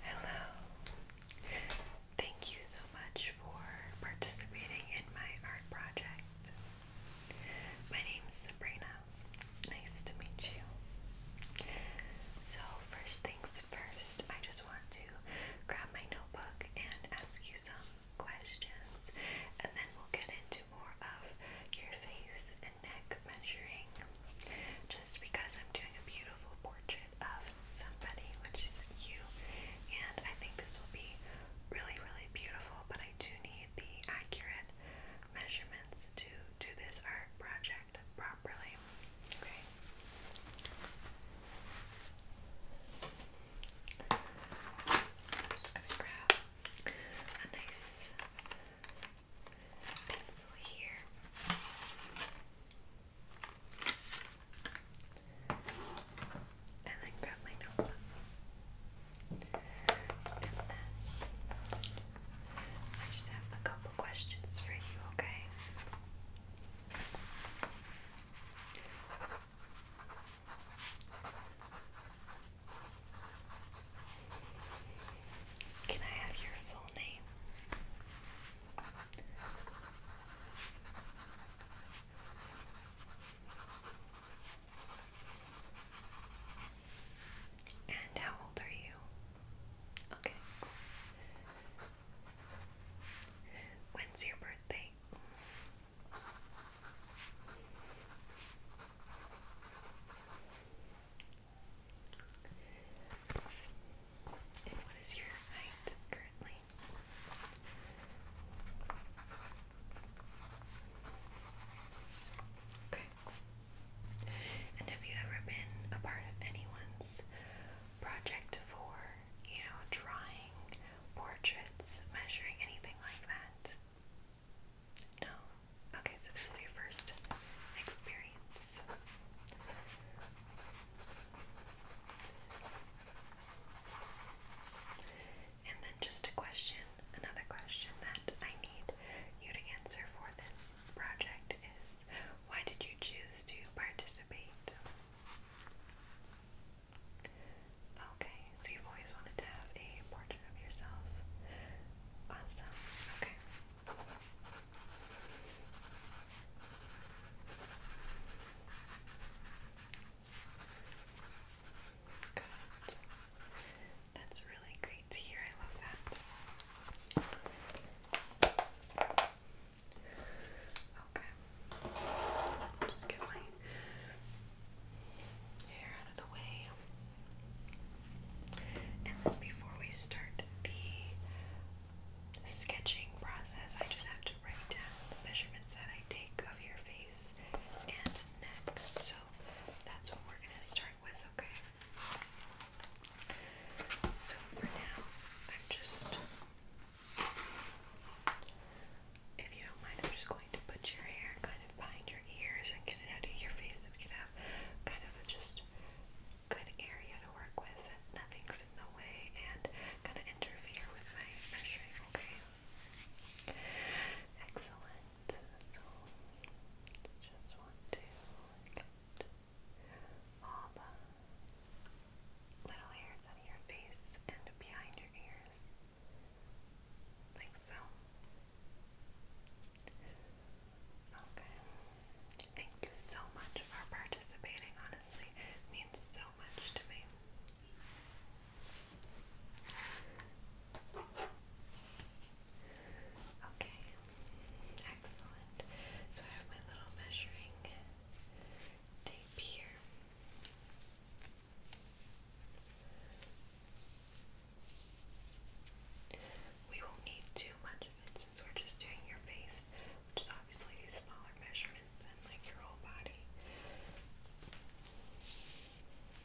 Hello. Thank you so much for participating in my art project. My name is Sabrina. Nice to meet you. So, first things first, I just want to grab my notebook and ask you some questions, and then we'll get into more of your face and neck measuring. Just because I'm doing a beautiful portrait of somebody, which is you. And I think this will be really, really beautiful, but I do need the accurate measurements to do this art project properly. Okay. just gonna grab a nice pencil here. And then grab my notebook. And then I just have a couple questions for you, okay? Can I have your full name? And how old are you? Okay. When's your birthday? And what is your height currently? Okay. And have you ever been a part of anyone's project for, you know, drawing, portraits, measuring, anything like that? No? Okay, so this is your first experience. And then just a question, another question that I need you to answer for this project is why did you choose to participate? Okay, so you've always wanted to have a portrait of yourself. Awesome. Okay. Good. That's really great to hear. I love that. Okay. just get my hair out of the way. And before we start the sketching process, I just have to write down the measurements that I take of your face and neck. So that's what we're going to start with, okay? So for now, I'm just, if you don't mind, I'm just going to put your hair kind of behind your ears and get it out of your face so we can have kind of just good area to work with. Nothing's in the way and gonna interfere with my okay? Excellent. So just want to get all the little hairs out of your face and behind your ears. Like so. Okay. Thank you so much for participating, honestly. means so much to me. Okay. Excellent. So I have my little measuring tape here. We won't need too much of it since we're just doing your face, which is obviously smaller measurements than like your whole body.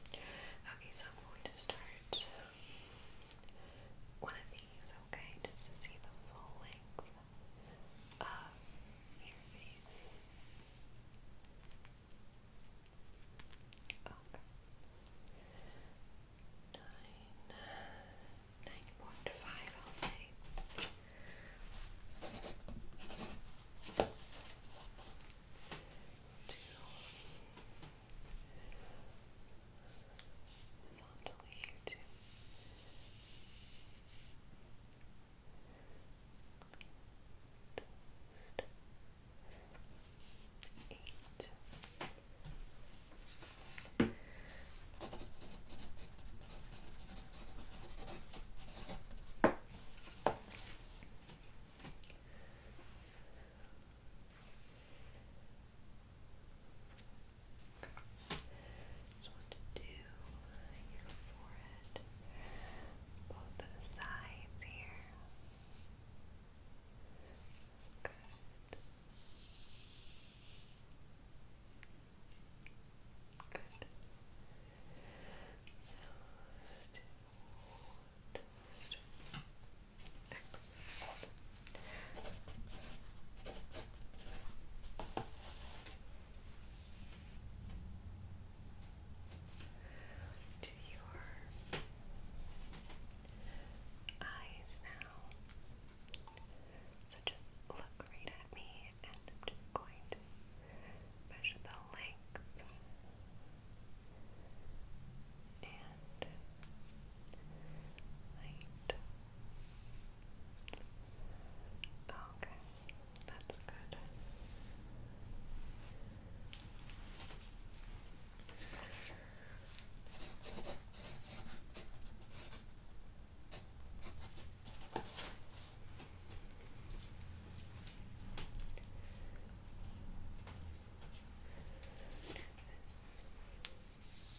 Okay, so I'm going to start one of these, okay, just to see the full length of your face. Okay nine, nine point five, I'll say. Two, horizontally here Eight. Just want to do your forehead, both sides here. Good. Good. So, to your eyes now. So just look right at me and I'm just going to measure the length and height. Okay, that's good.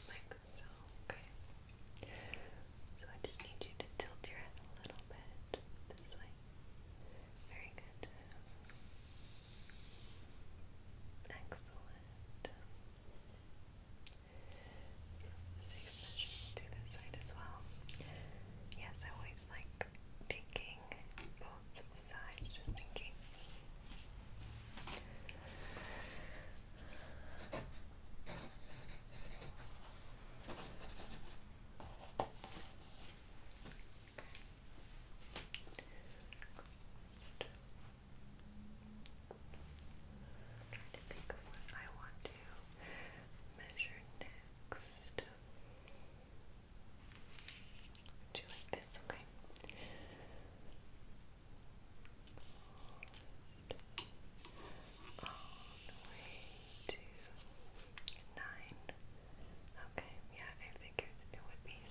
Like okay. So I just need you to tilt your head a little bit this way. Very good. Excellent. Safe measures to this side as well. Yes, I always like taking both sides just in case. I'm trying to think of what I want to measure next. Do like this? Okay. All the way to nine. Okay, yeah, I figured it would be if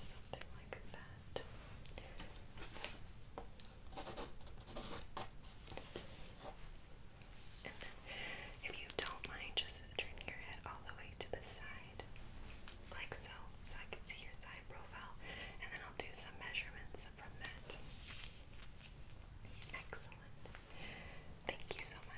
you don't mind, just turn your head all the way to the side, like so, so I can see your side profile, and then I'll do some measurements from that. Excellent. Thank you so much.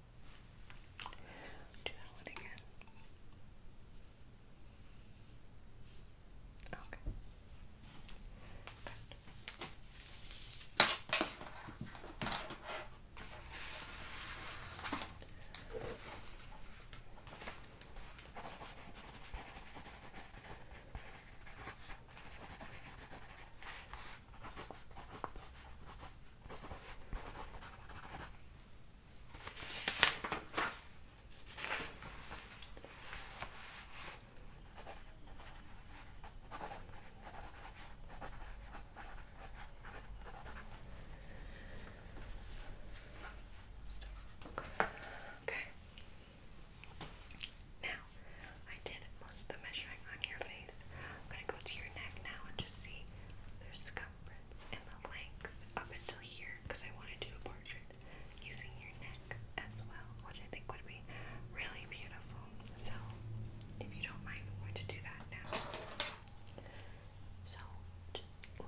Do that one again. Okay. Okay. Now, I did most of the measuring on your face. I'm going to go to your neck now and just see there's circumference the length up until here because I want to do a portrait using your neck as well, which I think would be really beautiful. So, if you don't mind, I'm going to do that now. So,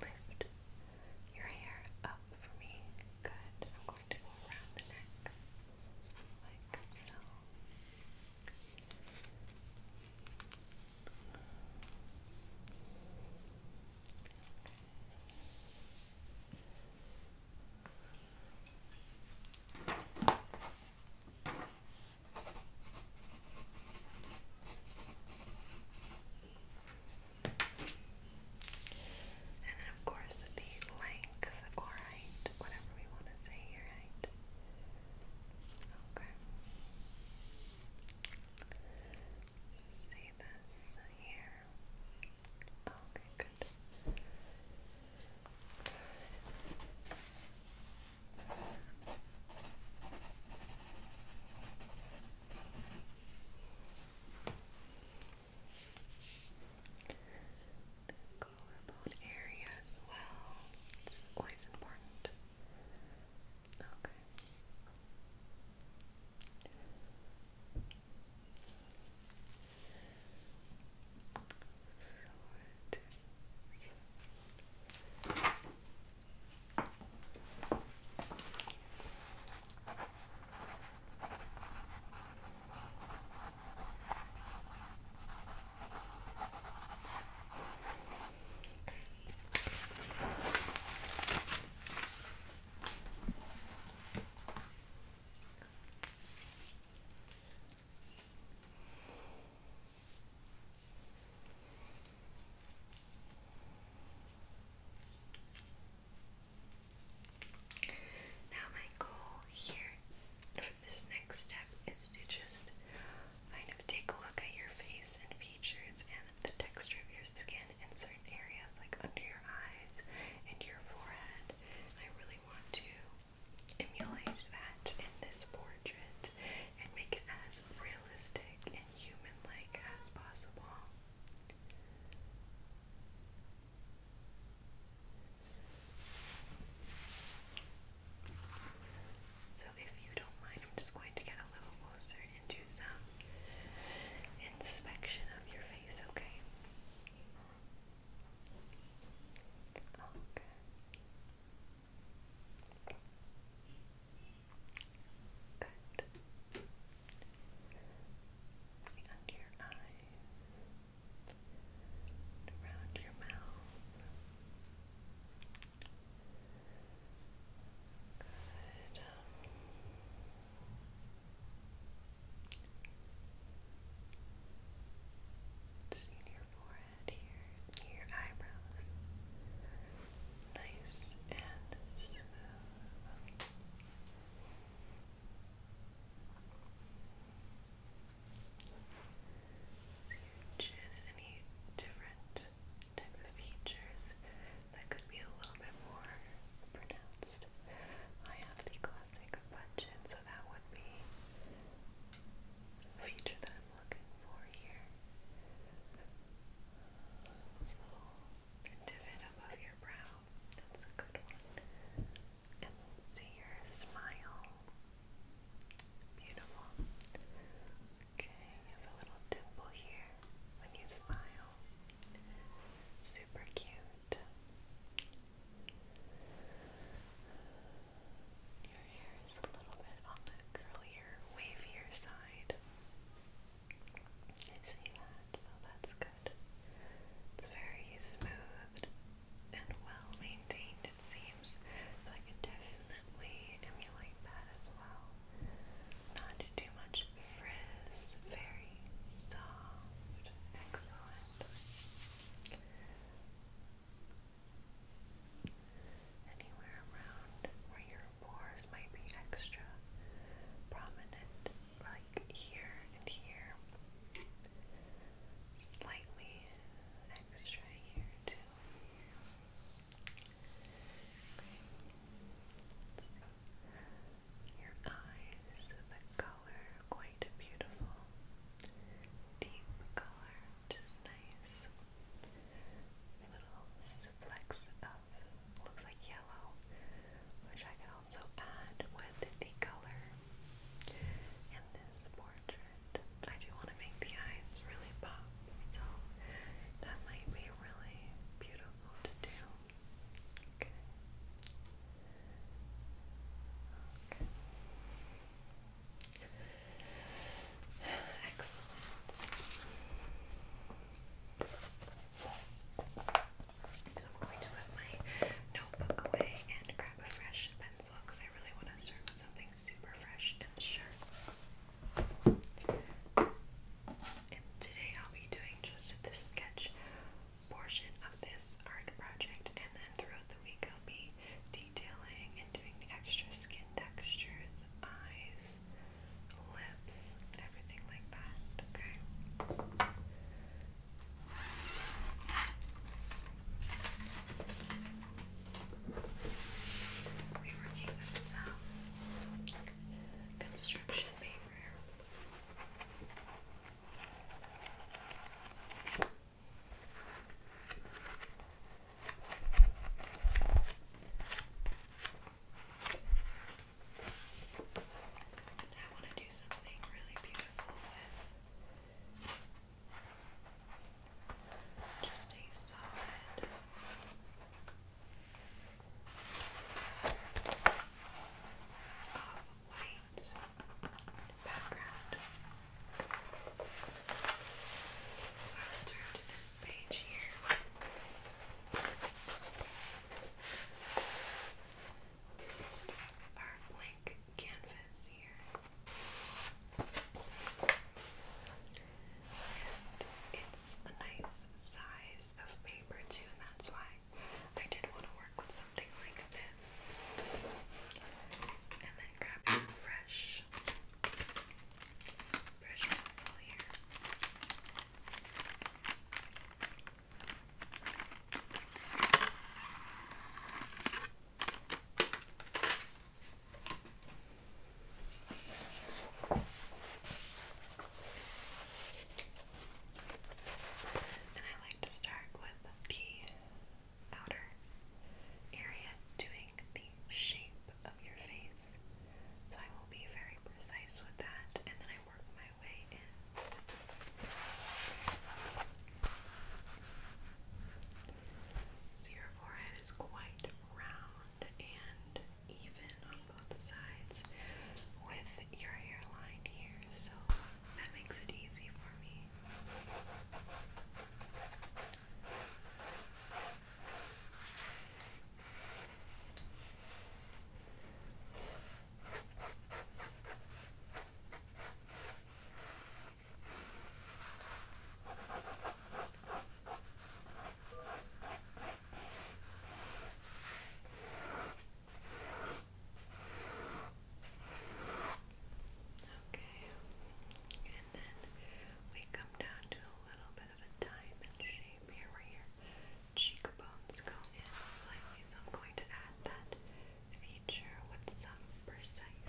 lift your hair up for me. Good. I'm going to go around the neck like so. And then, of course, the length, or height, whatever we want to say here, height. Okay. See this here. Okay, good. collarbone area as well. always important. Okay. Short. Okay. Now, my goal here for this next step is to just kind of take a look at your face and features and the texture of your skin in certain areas, like under your eyes and your forehead. I really want to emulate that in this portrait and make it as realistic and human like as possible. So, if you don't mind, I'm just going to get a little closer and do some inspection of your face, okay? Okay. Good. Under your eyes, around your mouth, Good. It's in your forehead here, near your eyebrows. Nice and smooth. your chin any different? type of features that could be a little bit more pronounced. I have the classic punch in, so that would be a feature that I'm looking for here. This little divot above your brow, that's a good one. And let's see your smile. Beautiful. Okay, you have a little dimple here when you smile. Super cute. Your hair is a little bit on the curlier, wavier side. I see that, so that's good. It's very smooth and well maintained it seems. So I can definitely emulate that as well. Not too much frizz, very soft. Excellent. Anywhere around where your pores might be extra prominent, like here and here. Slightly extra here, too. Your eyes, the color quite beautiful. Deep color, just nice. Little flecks of looks like yellow, which I can also add with the color in this portrait. I do want to make the eyes really pop, so that might be really beautiful to do. I'm going to put my notebook away and grab a fresh pencil because I really want to start with something something super fresh and sharp. And today I'll be doing just this sketch portion of this art project, and then throughout the week I'll be detailing and doing the extra skin textures, eyes, lips, everything like that. Okay. We're working with some construction paper. And I want to do something really beautiful with just a solid off white background. So I'll turn to this page here. Just our blank canvas here. And it's a nice size of paper too, and that's why I did want to work with something like this. And then grab fresh, fresh pencil here. And I like to start with the outer area doing the shape of your face. So I will be very precise with that and then I work my way in. So your forehead is quite round and even on both sides with your hairline here, so that makes it easy for me. Okay, and then we come down to a little bit of a diamond shape here where your cheekbones go in slightly. So I'm going to add that feature with some precise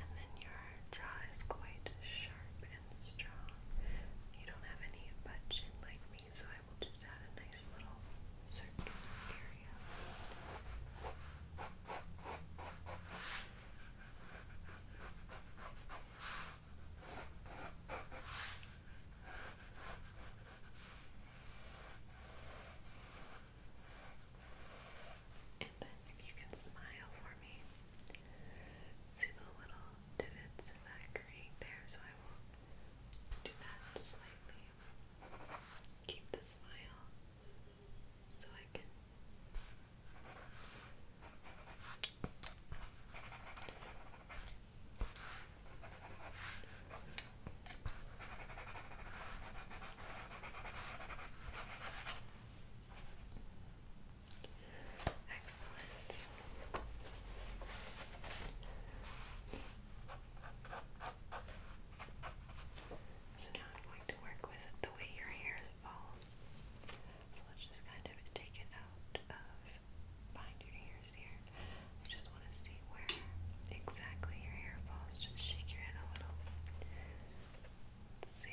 And then your jaw is quite sharp and strong. You don't have any butt chin like me, so I will just add a nice little circular area. And then if you can smile for me. See the little divots that create there, so I will do that slightly. Keep the smile so I can Excellent. So now I'm going to work with the way your hair falls. So let's just kind of take it out of behind your ears here. I just want to see where exactly your hair falls. Just shake your head a little. see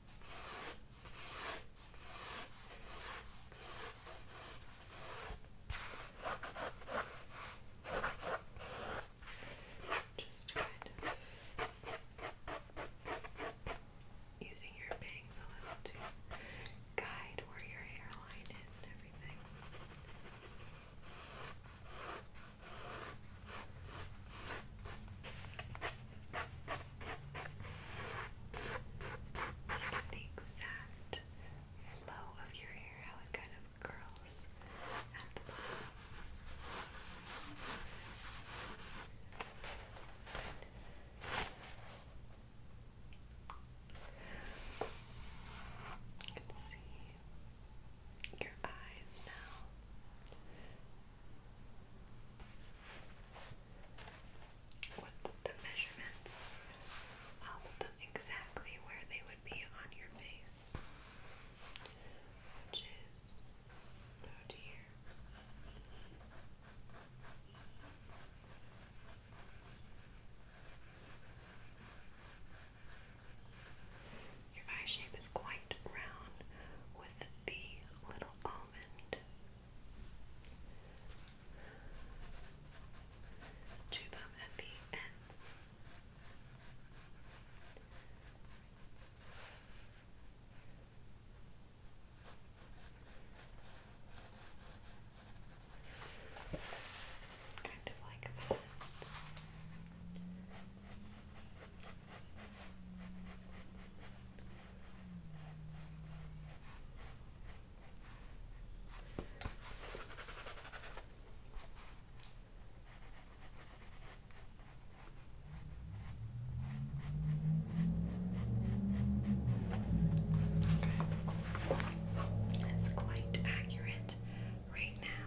Just kind using your bangs a little to guide where your hairline is and everything. Look at the exact flow of your hair, how it kind of curls at the bottom. You can see your eyes now with the measurements. I'll put them exactly where they would be on your face, which is about here. Your eye shape is quite round with the little almond to them at the ends. Kind of like that. Okay. That's quite accurate right now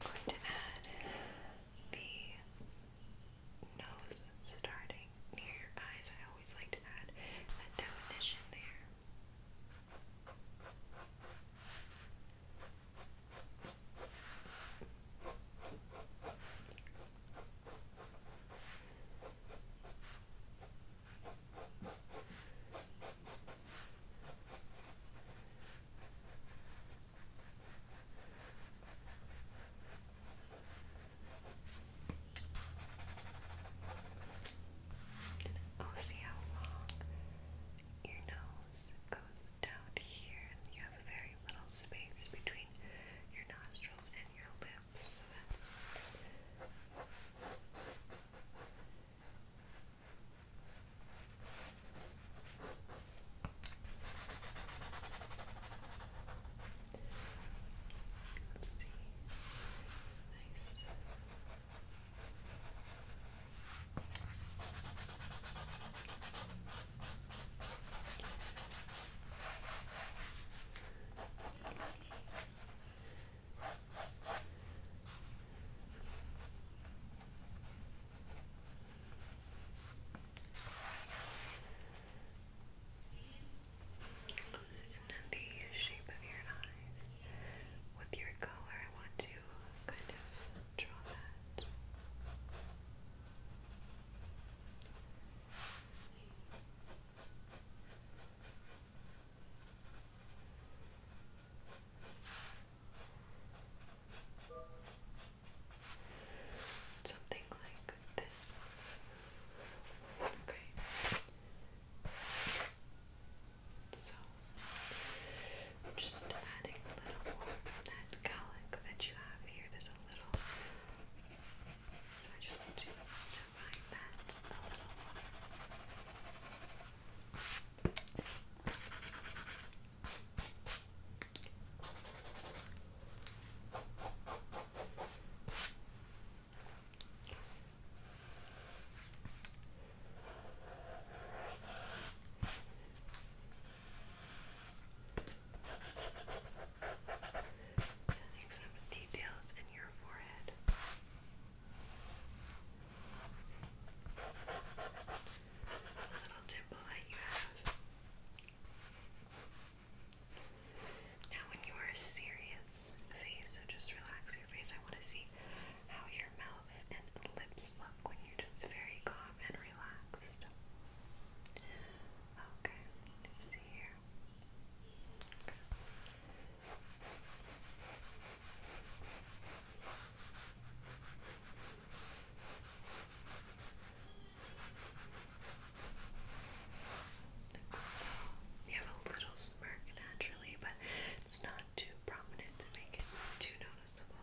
going to add the nose starting near your eyes. I always like to add that definition there. I'll see how long your nose goes down here. you have a very little space between your nostrils and your lips. Let's see. Nice. Okay. And then the shape of your eyes with your color, I want to kind of draw that. Something like this. Okay. So just adding a little more from that calic that you have here. There's a little so I just want to, to that a little Next up, details in your forehead. The you Now, when you are serious face, so just relax your face. I want to see how your mouth and lips look when you're just very calm and relaxed. Okay, let here. You have a little smirk naturally, but it's not too prominent to make it too noticeable.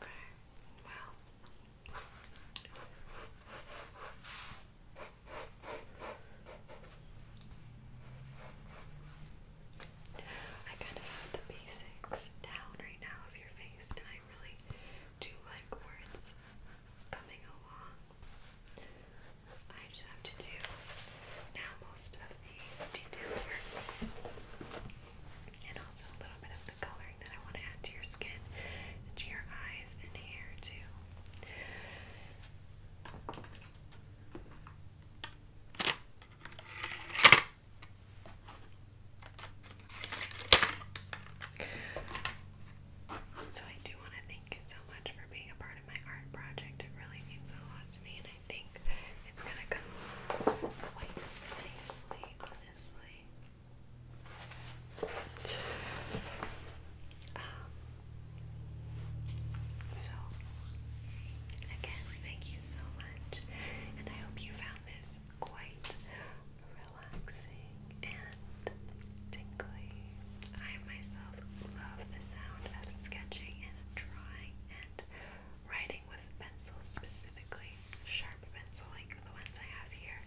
Okay, well. I kind of have the basics down right now of your face, and I really do like where coming along. I just have to do now most of the detail and also a little bit of the coloring that I want to add to your skin and to your eyes and hair too. So, I do want to thank you so much for being a part of my art project. It really means a lot to me, and I think it's going to come quite nicely, honestly. Um, so, again, thank you so much, and I hope you found this quite relaxing and tingly. I myself love the sound of sketching and drawing and writing with pencils, specifically sharp pencil like the ones I have here.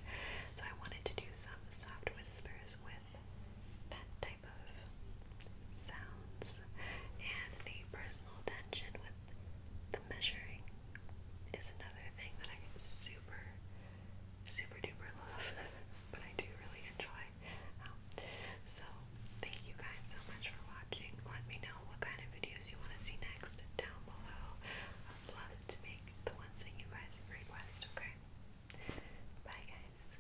So I wanted to do some soft whispers with that type of sounds and the personal tension with the measuring is another thing that I super, super duper love, but I do really enjoy. Um, so, thank you guys so much for watching. Let me know what kind of videos you want to see next down below. I'd love to make the ones that you guys request, okay? Bye, guys.